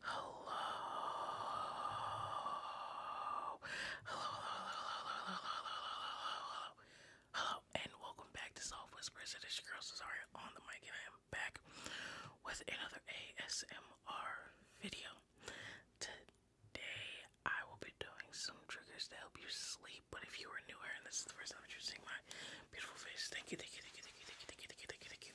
Hello. Hello, hello, hello, hello, hello, hello, hello, hello, and welcome back to Soft Whispers. It is your girl Cesaria on the mic, I am back with another ASMR video. Today, I will be doing some triggers to help you sleep. But if you are new here and this is the first time that you're seeing my beautiful face, thank you, thank you, thank you, thank you, thank you, thank you, thank you, thank you, thank you,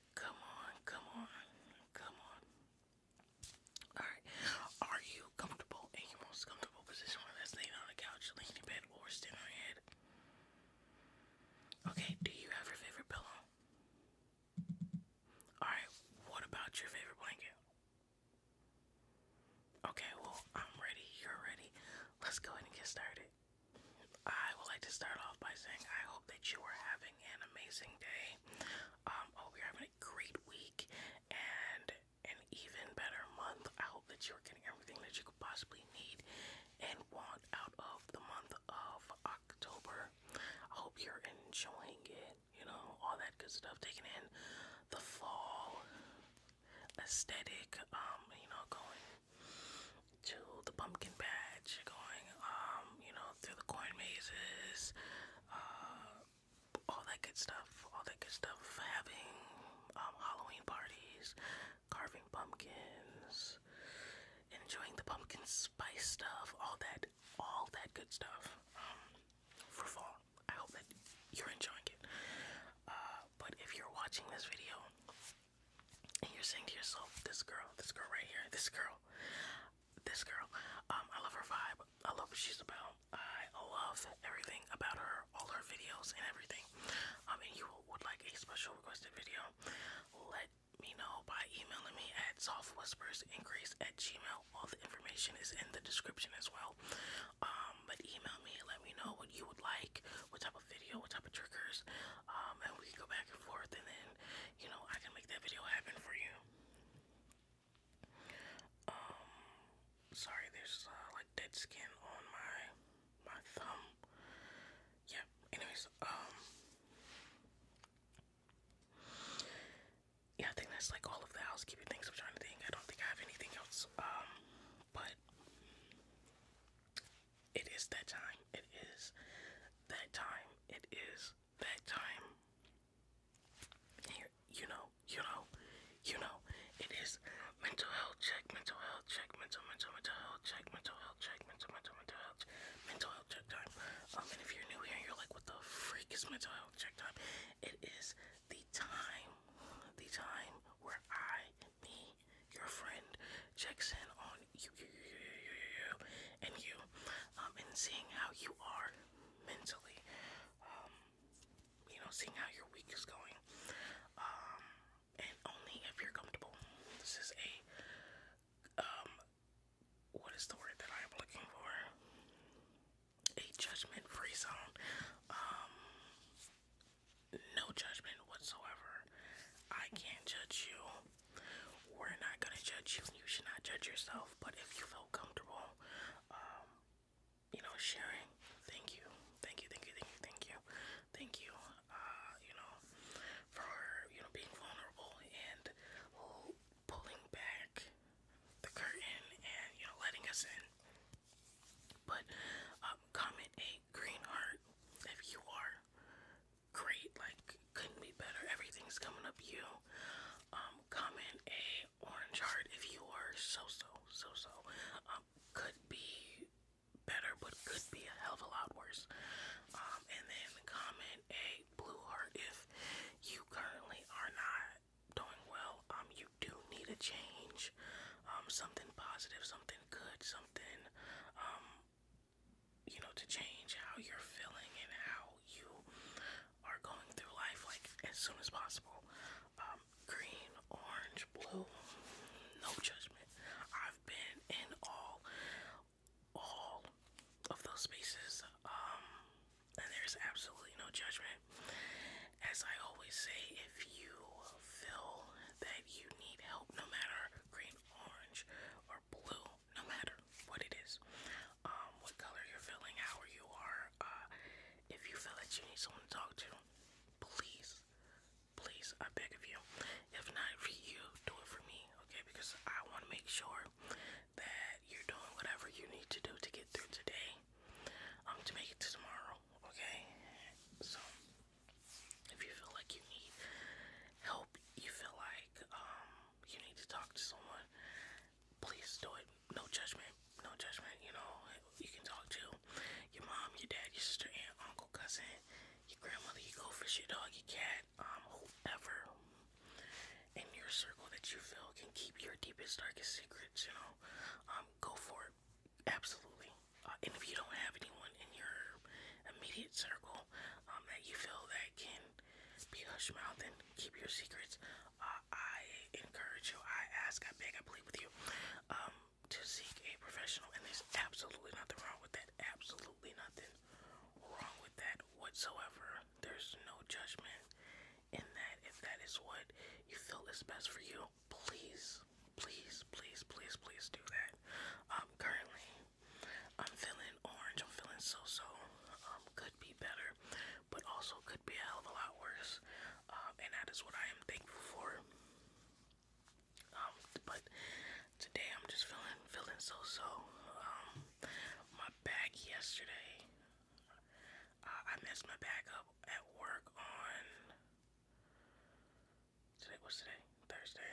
Come on, come on, come on. Alright, are you comfortable in your most comfortable position, whether that's laying on a couch, laying in bed, or standing on head? Okay, do you have your favorite pillow? Alright, what about your favorite blanket? Okay, well, I'm ready, you're ready. Let's go ahead and get started. I would like to start off by saying I hope that you are having an amazing day. Um, I hope you're having a great week and an even better month. I hope that you're getting everything that you could possibly need and want out of the month of October. I hope you're enjoying it, you know, all that good stuff, taking in the fall aesthetic, um, you know, going to the pumpkin patch, going, um, you know, through the corn mazes, uh, all that good stuff, all that good stuff, having um, Halloween parties, carving pumpkins, enjoying the pumpkin spice stuff, all that, all that good stuff um, for fall. I hope that you're enjoying it. Uh, but if you're watching this video, and you're saying to yourself, this girl, this girl right here, this girl, this girl, um, I love her vibe. I love what she's about. I love everything about her, all her videos and everything. Um, and you would like a special requested video, let me know by emailing me at softwhispersincrease at gmail. All the information is in the description as well. Um, but email me, let me know what you would like, what type of video, what type of triggers, um, and we go back and forth, and then you know I can make that video happen for you. Um, sorry, there's uh, like dead skin on my my thumb. Yeah. Anyways, um, yeah, I think that's like all of the housekeeping things I'm trying to think. I don't think I have anything else. Um, but it is that time. It is that time. It is that time. Here, you know, you know, you know. It is mental health check, mental health check, mental, mental, mental health check, mental health check, mental, mental, mental health, mental health check time. Um, and if you're new here, you're like, what the freak is mental health check time? It is the time, the time where I, me, your friend, checks in on you, and you, um, and seeing how you are mentally, um, you know, seeing how your week is going, um, and only if you're comfortable. This is a, um, what is the word that I am looking for? A judgment-free zone. Um, no judgment whatsoever. I can't judge you. We're not gonna judge you. You should not judge yourself. But if you feel comfortable, um, you know, sharing, thank you, thank you, thank you, thank you, thank you, thank you. Uh, you know, for you know being vulnerable and pulling back the curtain and you know letting us in. But um, comment a green heart. If you are great, like couldn't be better. Everything's coming up you. Um, comment a orange heart if you are so so so so. Um, could be better, but could be a hell of a lot worse. Um, and then comment a blue heart if you currently are not doing well. Um, you do need a change, um, something positive, something good, something, um, you know, to change how you're feeling and how you are going through life, like as soon as possible. Um, green, orange, blue, no judgment. I've been in all, all of those spaces, and there's absolutely no judgment. As I always say, if you feel that you need help, no matter green, orange, or blue, no matter what it is, um, what color you're feeling, how you are, uh, if you feel that you need someone to talk to, please, please, I beg of you. If not for you, do it for me, okay? Because I want to make sure that you're doing whatever you need to do to get through today, um, to make it to tomorrow okay? So, if you feel like you need help, you feel like um, you need to talk to someone, please do it. No judgment, no judgment, you know. You can talk to your mom, your dad, your sister, aunt, uncle, cousin, your grandmother, you go fish your dog, your cat, um, whoever in your circle that you feel can keep your deepest, darkest secrets, you know. Um, go for it. Absolutely. Uh, and if you don't have anyone in your immediate circle um, that you feel that can be hush mouth and keep your secrets, uh, I encourage you, I ask, I beg, I plead with you um, to seek a professional. And there's absolutely nothing wrong with that. Absolutely nothing wrong with that whatsoever. There's no judgment in that. If that is what you feel is best for you, please, please, please, please, please do that. Um, currently, I'm feeling orange. I'm feeling so-so. Um, could be better, but also could be a hell of a lot worse. Um, and that is what I am thankful for. Um, but today I'm just feeling feeling so-so. Um, my bag yesterday. Uh, I messed my bag up at work on Today was today Thursday.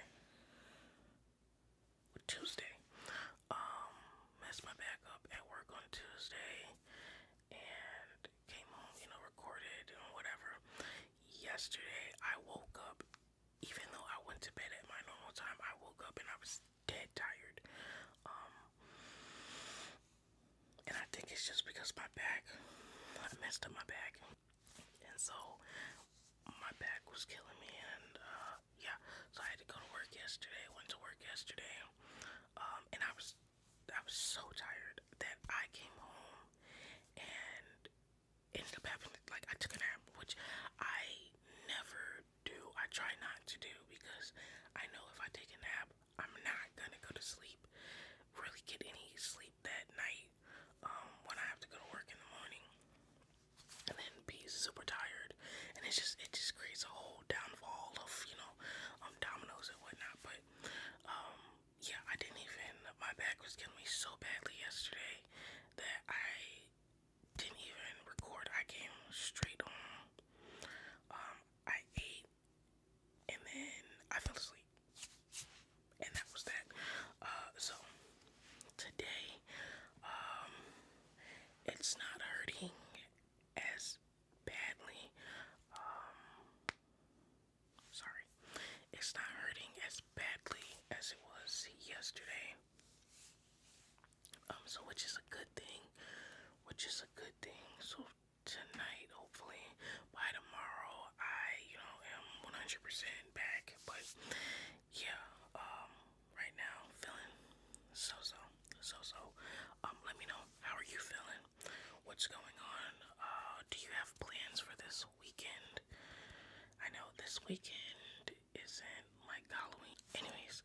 Tuesday. Um, messed my back up at work on Tuesday, and came home. You know, recorded and whatever. Yesterday, I woke up. Even though I went to bed at my normal time, I woke up and I was dead tired. Um, and I think it's just because my back, I messed up my back. And so my back was killing me. And uh, yeah, so I had to go to work yesterday. Went to work yesterday. Um, and I was, I was so tired that I came home and ended up having, like, I took a nap, which I never do. I try not to do because I know if I take a nap, I'm not gonna go to sleep, really get any sleep that night um, when I have to go to work in the morning, and then be super tired. And it's just it just creates a whole downfall of you know um, dominoes and whatnot. But um, yeah, I didn't even my back was killing me so badly yesterday that I didn't even record. I came straight on. Um, I ate and then I fell asleep. And that was that. Uh, so today, um, it's not hurting as badly. Um, sorry, it's not hurting as badly as it was yesterday. Um, so which is a good thing, which is a good thing. So tonight, hopefully by tomorrow, I, you know, am 100% back. But yeah, um, right now, feeling so so, so so. Um, let me know how are you feeling? What's going on? Uh, do you have plans for this weekend? I know this weekend isn't like Halloween. Anyways,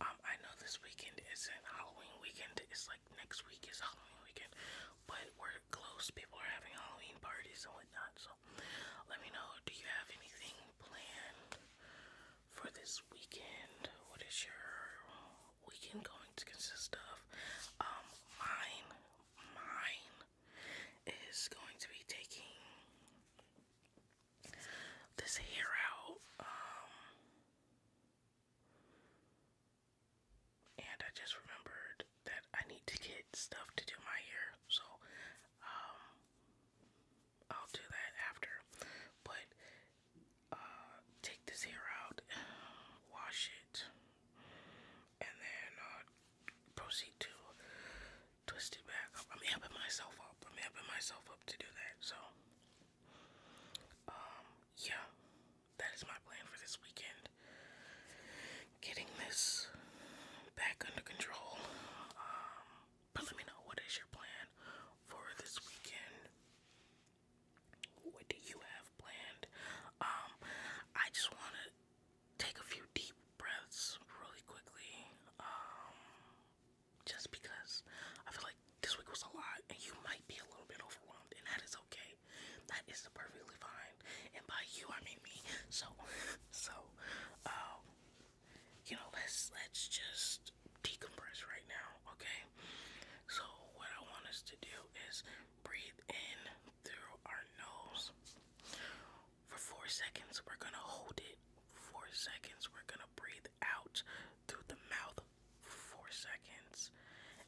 um, I know this weekend isn't Halloween weekend. It's like next week is Halloween weekend, but we're close. People are having Halloween parties and whatnot. So let me know. Do you have anything planned for this weekend? What is your weekend going to consist of? Um, mine, mine is going to be taking this hair out. Um, and I just remembered that I need to get stuff to do my hair, so um, I'll do that after. But uh, take this hair out, wash it, and then uh, proceed to twist it back up. I'm helping myself up. I'm helping myself up to do that. So um, yeah, that is my plan for this weekend. Getting this back under control. Um, but let me know what is your plan for this weekend. What do you have planned? Um, I just want to take a few deep breaths really quickly just because I feel like this week was a lot and you might be a little bit overwhelmed, and that is okay. That is perfectly fine. And by you, I mean me. So, so, um, you know, let's let's just decompress right now, okay? So, what I want us to do is breathe in through our nose for four seconds. We're gonna hold it. Four seconds. We're gonna breathe out through the mouth for seconds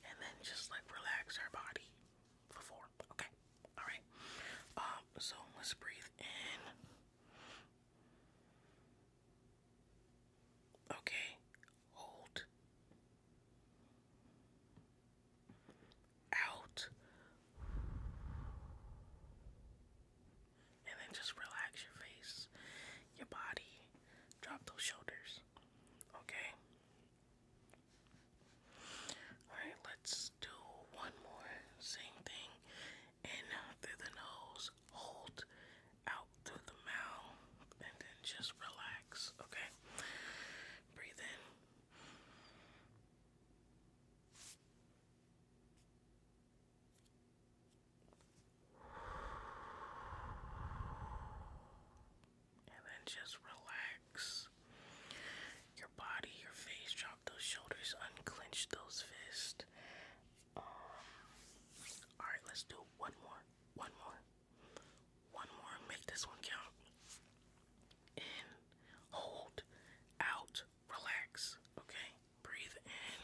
and then just like relax our body for four. Okay. Alright. Um, so let's breathe in. Okay. Hold. Out and then just relax your face, your body, drop those shoulders. Okay? Alright, let's do one more. Same thing. In through the nose, hold out through the mouth, and then just relax. Okay? Breathe in. And then just relax your body, your face, drop those shoulders, unclench those fists. Um, Alright, let's do one more, one more, one more, make this one count. In, hold, out, relax, okay? Breathe in.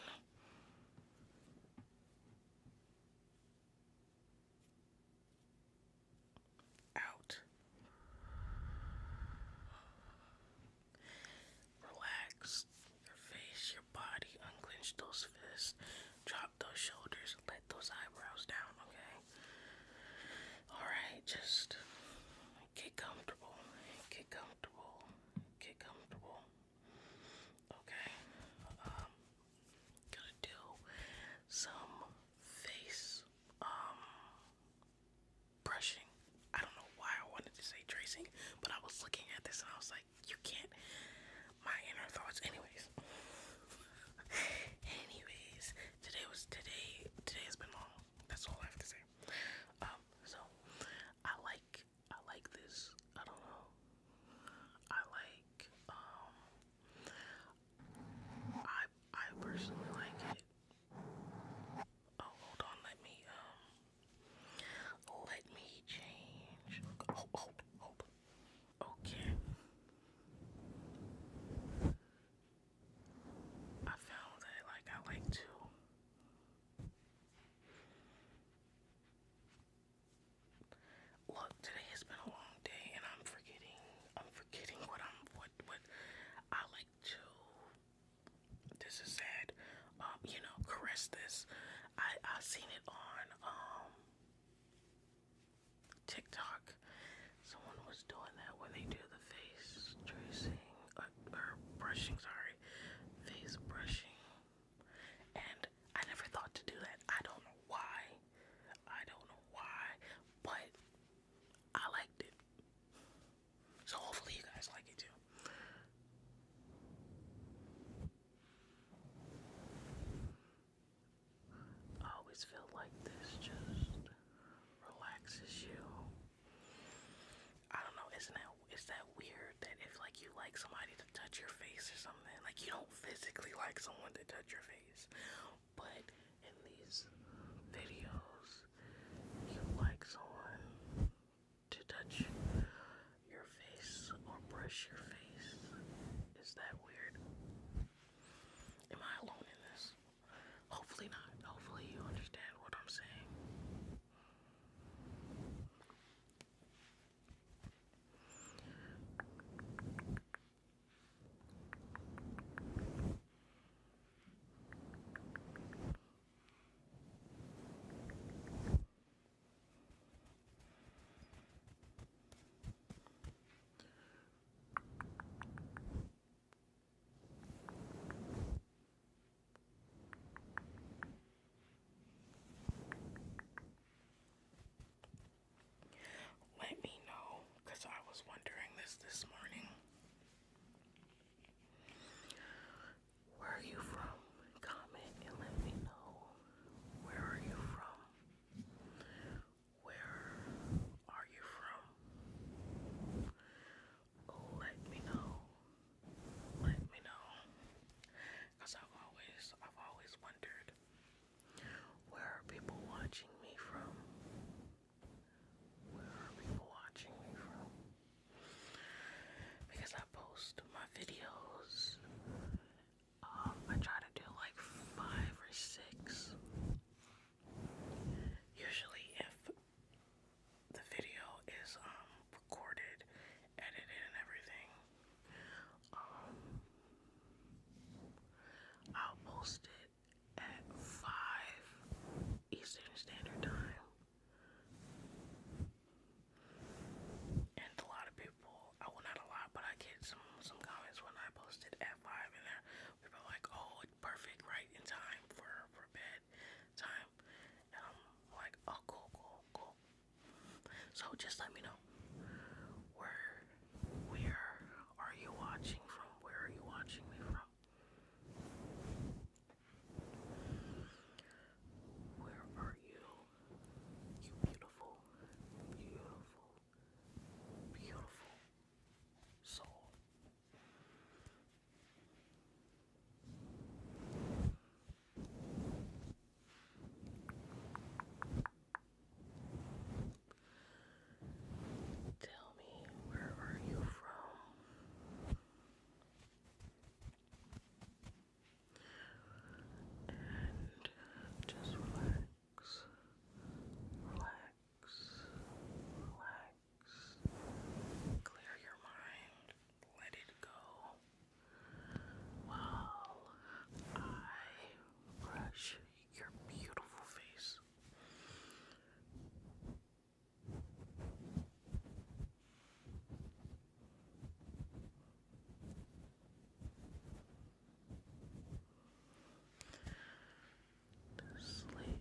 Out. Relax your face, your body. Unclench those fists. Drop those shoulders. Let those eyebrows down, okay? Alright, just Get comfortable. Get comfortable. Get comfortable. Okay. Um, gonna do some face um, brushing. I don't know why I wanted to say tracing, but I was looking at this and I was like, you can't my inner thoughts anyways. anyways, today was today today has been long. That's all I have to say. Um so I like I like this. I don't know. I like um, I I personally like it. Oh hold on, let me um let me change. Oh hold hold Okay. I found that like I like to Look, today has been a long day, and I'm forgetting. I'm forgetting what I'm what what I like to. This is sad. Um, you know, caress this. I I seen it on um TikTok. Someone was doing that when they do the face tracing uh, or, brushing. Sorry face brushing. And I never thought to do that. I don't know why. I don't know why, but I liked it. So hopefully you guys like it too. always feel like this just relaxes you. I don't know, isn't that is that weird that if like you like somebody to touch your face or something, like you don't physically like someone to touch your face, but in these videos you like someone to touch your face or brush your face. Is that weird? Am I alone in this? Hopefully not. Hopefully you understand what I'm saying. Let me know because I was wondering this this morning. Where are you from? Comment and let me know. Where are you from? Where are you from? Let me know. Let me know. Cause I've always I've always wondered where are people watching me from? Where are people watching me from? Because I post my videos. Um, I try to do like five or six. Usually, if the video is um, recorded, edited, and everything. Um, I'll post it at five Eastern Standard Time, and a lot of people. I well, not a lot, but I get some some comments when I post it at five, and they people like, "Oh, perfect right in time for for bed time and I'm like oh cool cool cool so just let me know where where are you watching from where are you watching me from where are you you beautiful beautiful beautiful soul Tell me, where are you from? And just relax, relax, relax, clear your mind, let it go while I brush your beautiful face. sleep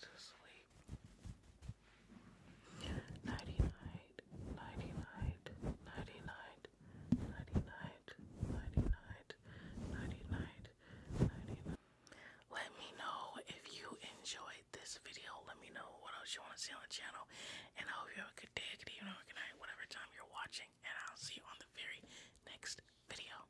to sleep. Nighty Let me know if you enjoyed this video. Let me know what else you want to see on the channel. And I hope you have a good day, good evening, or good night, whatever time you're watching. And I'll see you on the very next video.